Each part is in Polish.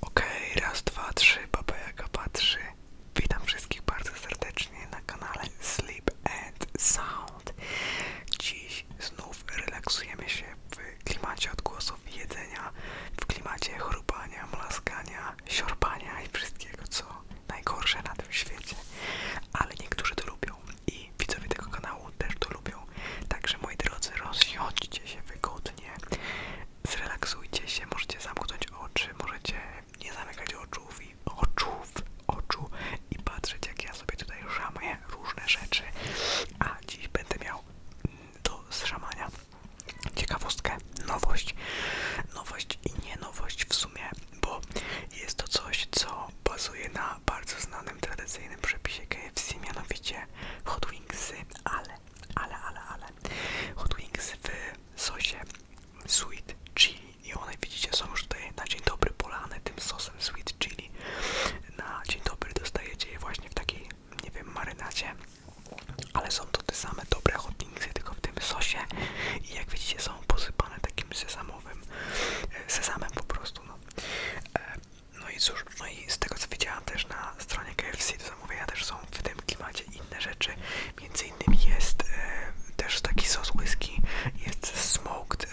Okej, okay, raz, dwa, trzy, baba jaka patrzy. Witam wszystkich bardzo serdecznie na kanale Sleep and Sound. Dziś znów relaksujemy się w klimacie odgłosów jedzenia, w klimacie chrupania, mlaskania, siorbania i wszystkiego, co najgorsze na tym świecie. Ale niektórzy to lubią i widzowie tego kanału też to lubią. Także moi drodzy, rozsiądźcie się wygodnie, zrelaksujcie się, możecie zamknąć oczy, możecie nie zamykać oczu, i oczów, oczu i patrzeć jak ja sobie tutaj szamuję różne rzeczy, a dziś będę miał do zszamania ciekawostkę, nowość, nowość i nie nowość w sumie, bo jest to coś, co bazuje na bardzo znanym, tradycyjnym przepisie KFC, mianowicie hot wingsy, ale ale, ale, ale Hot Wings w sosie Sweet Chili i one widzicie są już tutaj na dzień dobry polane tym sosem Sweet Chili na dzień dobry dostajecie je właśnie w takiej, nie wiem, marynacie ale są to te same dobre Hot Wingsy tylko w tym sosie i jak widzicie są posypane takim sezamowym e, sezamem po prostu no e, no i cóż, no z tego co widziałam też na stronie KFC do zamówienia też są w tym klimacie inne rzeczy. Między innymi jest e, też taki sos whisky, jest smoked e,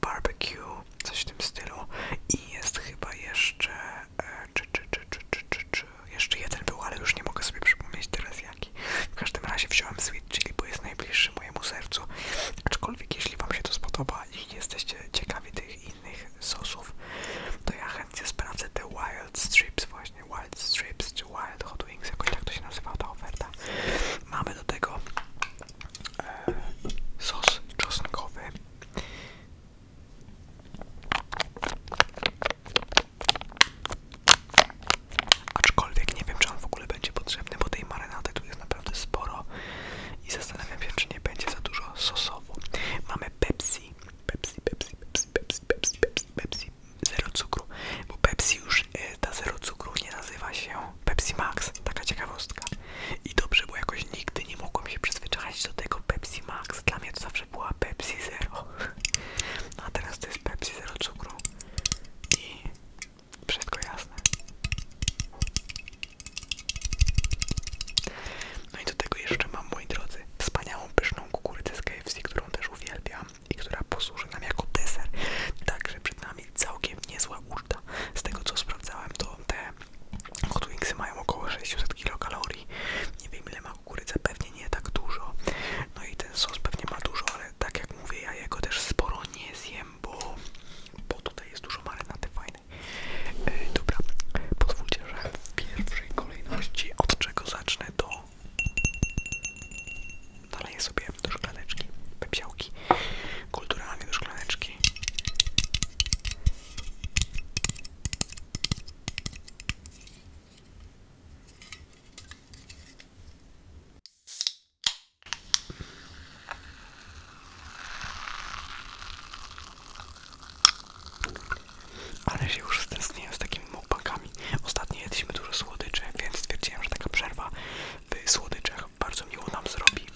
barbecue, coś w tym stylu i jest chyba jeszcze e, czy, czy, czy, czy, czy, czy, czy, jeszcze jeden był, ale już nie mogę sobie przypomnieć teraz jaki. W każdym razie wziąłem sweet chili, bo jest najbliższy mojemu sercu. Aczkolwiek jeśli wam się to spodoba i jesteście ciekawi tych tych innych sosów, to ja chętnie sprawdzę te Wild Strips właśnie, Wild Strips czy Wild Hot Wings, Jak tak to się nazywa ta oferta. Mamy do tego e, sos czosnkowy. Aczkolwiek nie wiem, czy on w ogóle będzie potrzebny, bo tej marynady tu jest naprawdę sporo i zastanawiam się, czy nie będzie za dużo sosowo. Mamy Pepsi Pepsi. Pepsi, Pepsi, Pepsi, Pepsi, Pepsi, Pepsi, zero cukru, bo Pepsi już, e, ta zero cukru nie nazywa się Pepsi Max, taka ciekawostka. I dobrze, bo jakoś nigdy nie mogłem się przyzwyczaić do tego Pepsi Max, dla mnie to zawsze była Pepsi Zero. a teraz to jest Pepsi zero cukru i wszystko jasne. No i do tego jeszcze mam, moi drodzy, wspaniałą, pyszną kukurydzę z KFC, którą też uwielbiam i która posłuży nam jako deser. Także przed nami całkiem niezła uczta. Z tego co sprawdzałem, to te hot wingsy mają około 600 kilokalorii. Nie wiem ile ma kukurydza, pewnie nie tak dużo. No i ten sos pewnie ma dużo, ale tak jak mówię, ja jego też sporo nie zjem, bo, bo tutaj jest dużo marynaty fajne E, dobra, pozwólcie, że w pierwszej kolejności od czego zacznę to dalej sobie do szklaneczki, pepsiałki, kulturalnie do szklaneczki. Ale się już stęskniłem z takimi mukbangami. Ostatnio jedliśmy dużo słodyczy, więc stwierdziłem, że taka przerwa w słodyczach bardzo miło nam zrobi.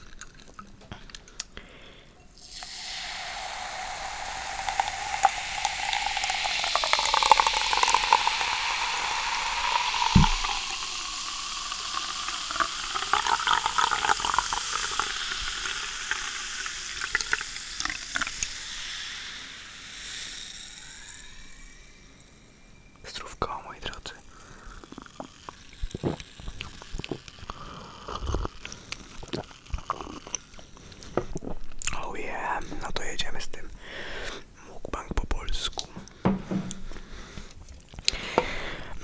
Zdrówko, moi drodzy. Oh yeah, no to jedziemy z tym. Mukbang po polsku.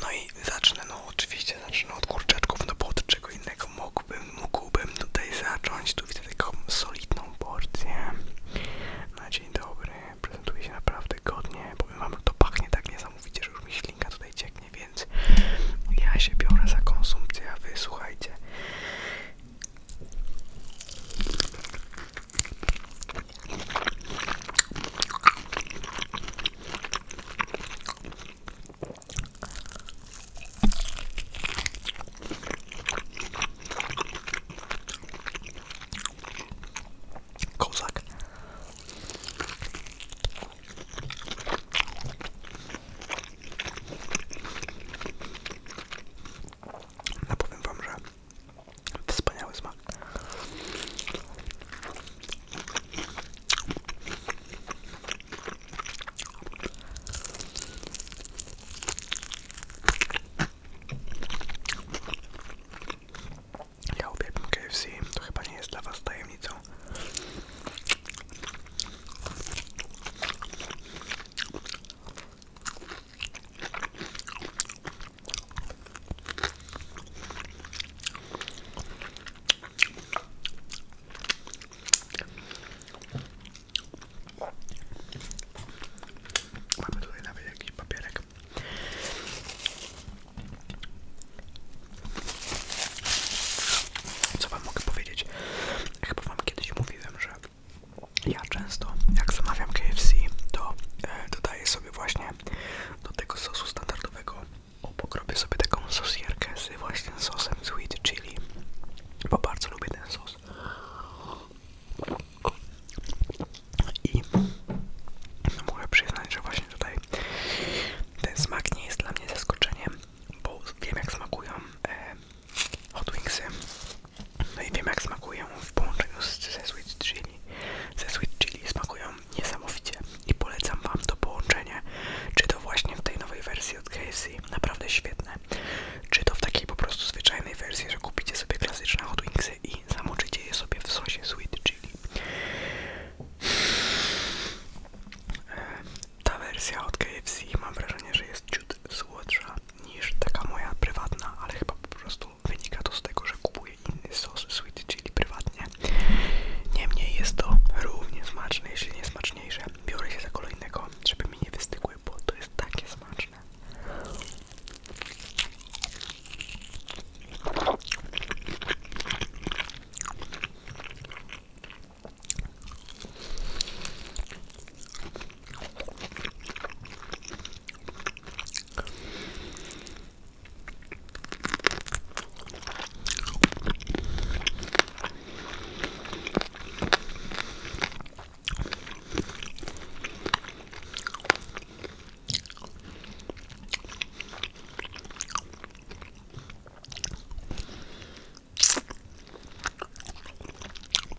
No i zacznę, no oczywiście zacznę od kurczaczków, no bo od czego innego mógłbym, mógłbym tutaj zacząć, tu widzę taką solidną porcję. Na dzień dobry, prezentuje się naprawdę godnie, powiem wam, to pachnie tak niesamowicie, że już mi ślinka tutaj cieknie, więc ja się biorę za konsumpcję, wysłuchajcie Kozak. No powiem wam, że wspaniały smak. Ja uwielbiam KFC, to chyba nie jest dla was tajemnicą. Mamy tutaj nawet jakiś papierek. Co wam mogę powiedzieć? Chyba wam kiedyś mówiłem, że ja często jak zamawiam KFC, to e, dodaję sobie właśnie do tego sosu standardowego obok sobie taką sosierkę z właśnie sosem sweet chili, bo bardzo lubię ten sos. I muszę przyznać, że właśnie tutaj ten smak nie jest dla mnie zaskoczeniem, bo wiem jak smakują e, hot wingsy. No i wiem jak smakują w połączeniu z, ze sweet chili. Ze sweet chili smakują niesamowicie i polecam Wam to połączenie, czy to właśnie w tej nowej wersji od KFC, naprawdę świetne, czy to w takiej po prostu zwyczajnej wersji, że kupicie sobie klasyczne hot wingsy i zamoczycie je sobie w sosie sweet chili. Eee, ta wersja od KFC mam wrażenie, że jest ciut słodsza niż taka moja prywatna, ale chyba po prostu wynika to z tego, że kupuję kupuję inny sos sweet chili prywatnie. Niemniej jest to równie smaczne, jeśli nie smaczniejsze. Biorę się za kolejnego, żeby mi nie wystygły, bo to jest takie smaczne.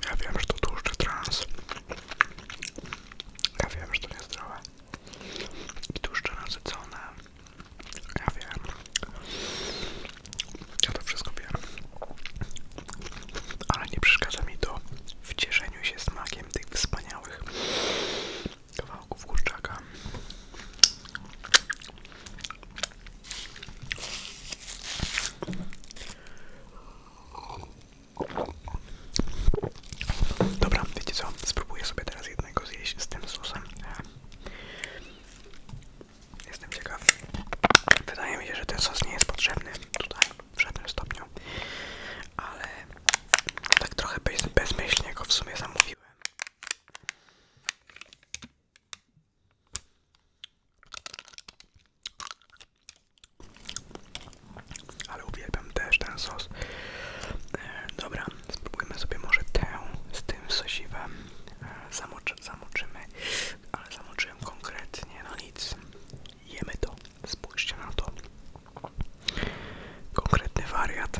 Ja wiem, że to tłuszcz trans. Ja wiem, że to niezdrowe. I tłuszcze nasycone ja wiem. Ja to wszystko wiem. Ale nie przeszkadza mi to w cieszeniu się smakiem tych wspaniałych kawałków kurczaka. Dobra, wiecie co? Spróbuję sobie teraz jednego zjeść z tym susem. Jestem ciekaw. Wydaje mi się, że ten sos nie jest potrzebny tutaj w żadnym stopniu, ale tak trochę bez, bezmyślnie go w sumie zamówiłem. Ale uwielbiam też ten sos. E, dobra, Spróbujmy sobie może tę z tym sosiwem. E, Zamoczy, zamoczymy, ale zamoczyłem konkretnie, na no nic. Jemy to. Spójrzcie na to. Konkretny wariat.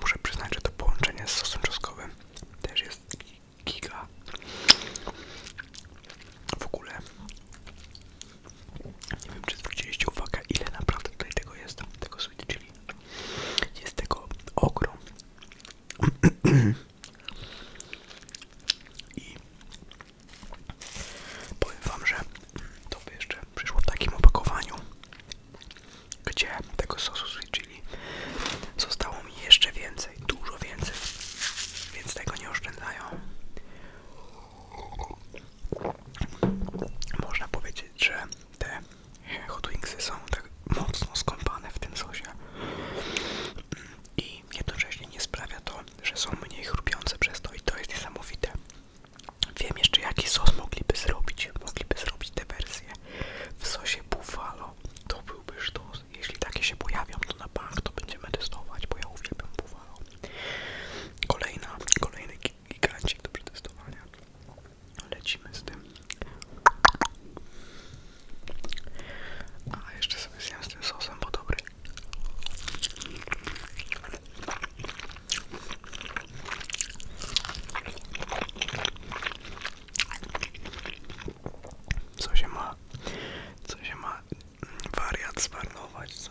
muszę przyznać, że to połączenie z sosem czosnkowym też jest giga. W ogóle nie wiem, czy zwróciliście uwagę, ile naprawdę tutaj tego jest, tego sweet Jest tego ogrom. I Powiem wam, że to by jeszcze przyszło w takim opakowaniu, gdzie tego sosu sweet chili zostało mi jeszcze więcej, dużo więcej, więc tego nie oszczędzają. Można powiedzieć, że te hot wingsy są tak mocno skąpane w tym sosie i jednocześnie nie sprawia to, że są mniej chrupiące przez to i to jest niesamowite. Wiem jeszcze jaki sos mogliby zrobić. Mogliby zrobić te wersje. w sosie buffalo. To byłby sztos. Jeśli takie się pojawią, to na bank to będziemy testować, bo ja uwielbiam buffalo. Kolejna, kolejny gigancik do przetestowania. Lecimy z tym. A jeszcze sobie zjem z tym sosem, bo dobry. Co się ma? Co się ma mm, wariat zmarnować, co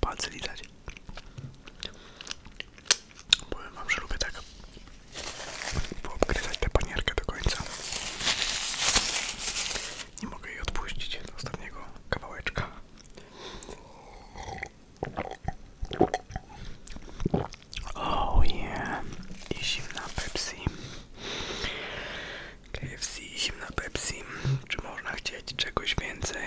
Palce widać. Powiem wam, że tak poobgryzać tę panierkę do końca. Nie mogę jej odpuścić do ostatniego kawałeczka. Oh yeah. I zimna Pepsi. KFC i zimna Pepsi. Czy można chcieć czegoś więcej?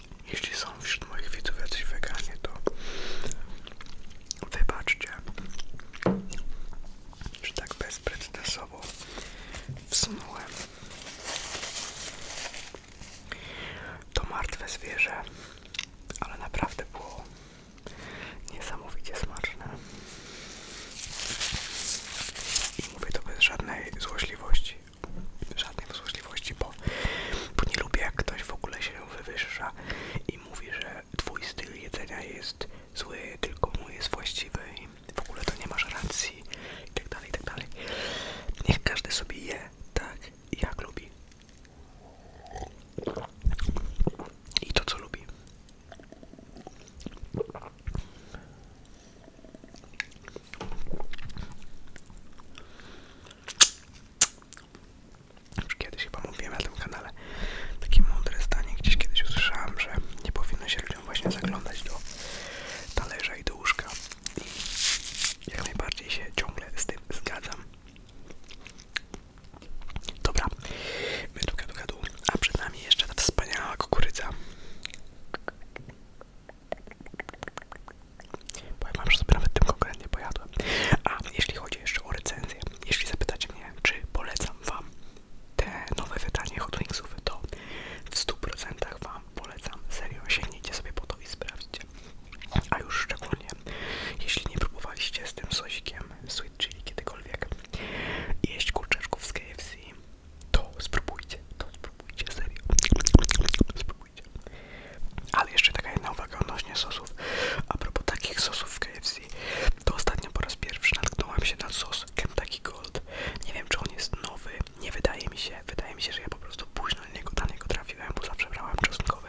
Jeśli są wśród moich widzów jacyś weganie, to wybaczcie, że tak bezprecedensowo wsunąłem to martwe zwierzę, ale naprawdę było niesamowicie smaczne. I mówię to bez żadnej złośliwości, żadnej złośliwości bo, nie lubię, jak ktoś w ogóle się wywyższa i mówi, że twój styl jedzenia jest zły, tylko mój jest właściwy i w ogóle to nie masz racji itd., tak itd. Tak Niech każdy sobie je tak, jak lubi. I to, co lubi kiedyś chyba mówiłem na tym kanale takie mądre zdanie, gdzieś kiedyś usłyszałem, że nie powinno się ludziom właśnie zaglądać do talerza i do łóżka. I jak najbardziej się ciągle z tym zgadzam. Dobra, według gadu, gadu a przed nami jeszcze ta wspaniała kukurydza. Powiem wam, że sobie nawet tym konkretnie pojadłem. A jeśli chodzi jeszcze o recenzję, jeśli zapytacie mnie, czy polecam wam te nowe wydanie Hot Wingsów, to w 100% wam polecam. Serio, sięgnijcie sobie po to i sprawdźcie. A już szczególnie, jeśli nie próbowaliście z tym sosikiem sweet chili kiedykolwiek jeść kurczaczków z KFC, to spróbujcie, to spróbujcie, serio. Spróbujcie. Ale jeszcze taka jedna uwaga odnośnie sosów. A propos takich sosów w KFC, to ostatnio po raz pierwszy natknąłem się na sos Kentucky Gold. Nie wiem, czy on jest nowy, nie wydaje mi się. Wydaje mi się, że ja po prostu późno na niego, na trafiłem, bo zawsze brałem czosnkowy.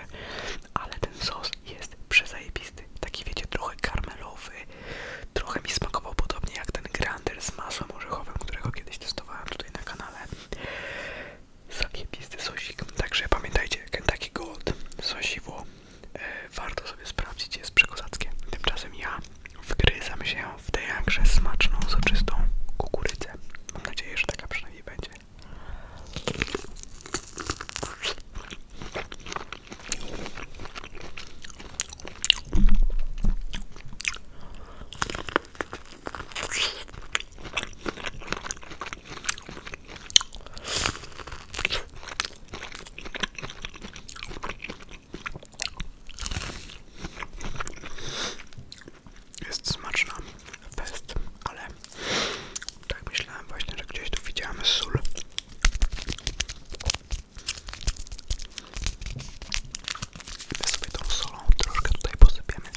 Ale ten sos jest przezajebisty. Taki wiecie, trochę karmelowy. Trochę mi smakował podobnie jak ten grander z masłem orzechowym, którego kiedyś testowałem tutaj na kanale zajebisty sosik. Także pamiętajcie, Kentucky Gold, sosiwo, e, warto sobie sprawdzić, jest przekozackie. Tymczasem ja wgryzam się w tę jakże smaczną, soczystą kukurydzę. Mam nadzieję, że taka przynajmniej będzie. Jest smaczna, fest, ale tak myślałem właśnie, że gdzieś tu widziałem sól. Ja sobie tą tutaj posypiemy.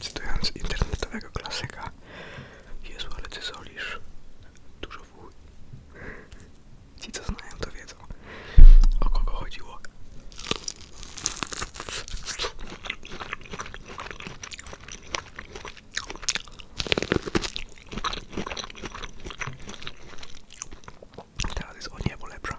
Cytując internetowego klasyka, Jezu, ale ty solisz. Dużo wuj. Ci co znają to wiedzą, o kogo chodziło. Teraz jest o niebo lepsza.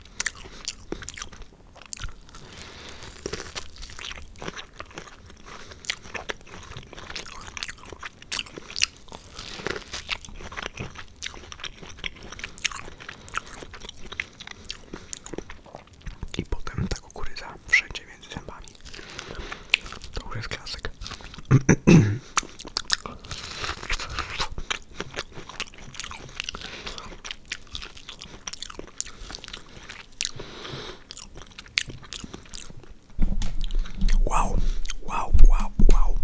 I potem ta kukurydza wszędzie między zębami. To już jest klasyk. Wow, wow, wow, wow.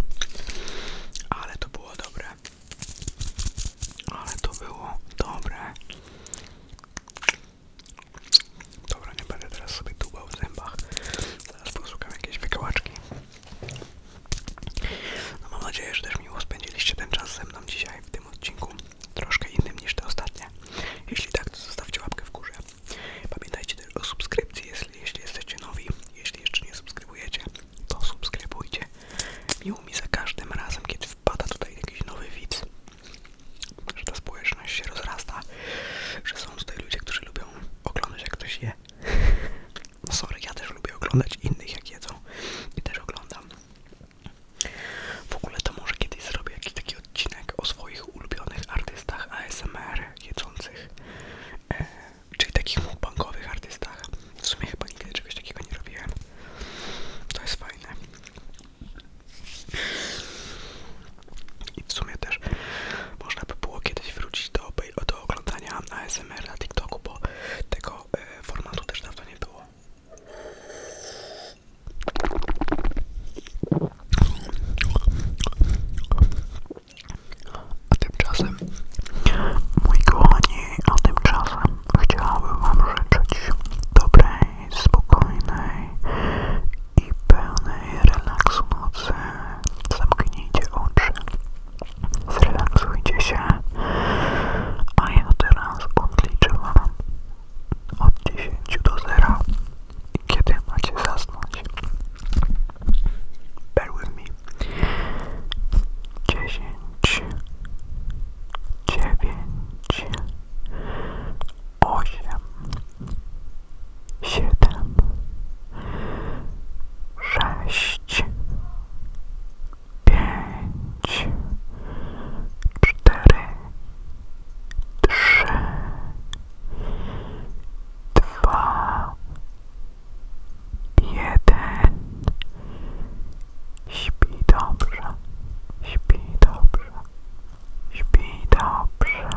Ale to było dobre. Ale to było dobre. Dobra, nie będę teraz sobie tubał w zębach. Zaraz posłucham jakieś wykałaczki. No, mam nadzieję, że też miło spędziliście ten czas ze mną dzisiaj w tym odcinku, troszkę innym niż te ostatnie. Jeśli tak, to zostawcie łapkę w górze. Pamiętajcie też o subskrypcji, jeśli, jeśli jesteście nowi, jeśli jeszcze nie subskrybujecie, to subskrybujcie. Miło mi za każdym razem, kiedy wpada tutaj jakiś nowy widz, że ta społeczność się rozrasta, że są tutaj ludzie, którzy lubią oglądać jak ktoś je. No sorry, ja też lubię oglądać innych jak jedzą i też oglądam. W ogóle to może kiedyś zrobię jakiś taki odcinek o swoich ulubionych artystach ASMR jedzących, e, czyli takich bankowych artystach. W sumie chyba nigdy czegoś takiego nie robię. To jest fajne. I w sumie też można by było kiedyś wrócić do do oglądania ASMR na TikToku, bo tego e, formatu też dawno nie było. A tymczasem, moi kochani, a tymczasem chciałabym Wam życzyć dobrej, spokojnej i pełnej relaksu nocy. Zamknijcie oczy, Zrelaksujcie się, a ja teraz odliczę od dziesięciu do 0, kiedy macie zasnąć. Bear with me. 10, 9, 8, sześć, pięć, cztery, trzy, dwa, jeden. Śpi dobrze, śpi dobrze, śpi dobrze.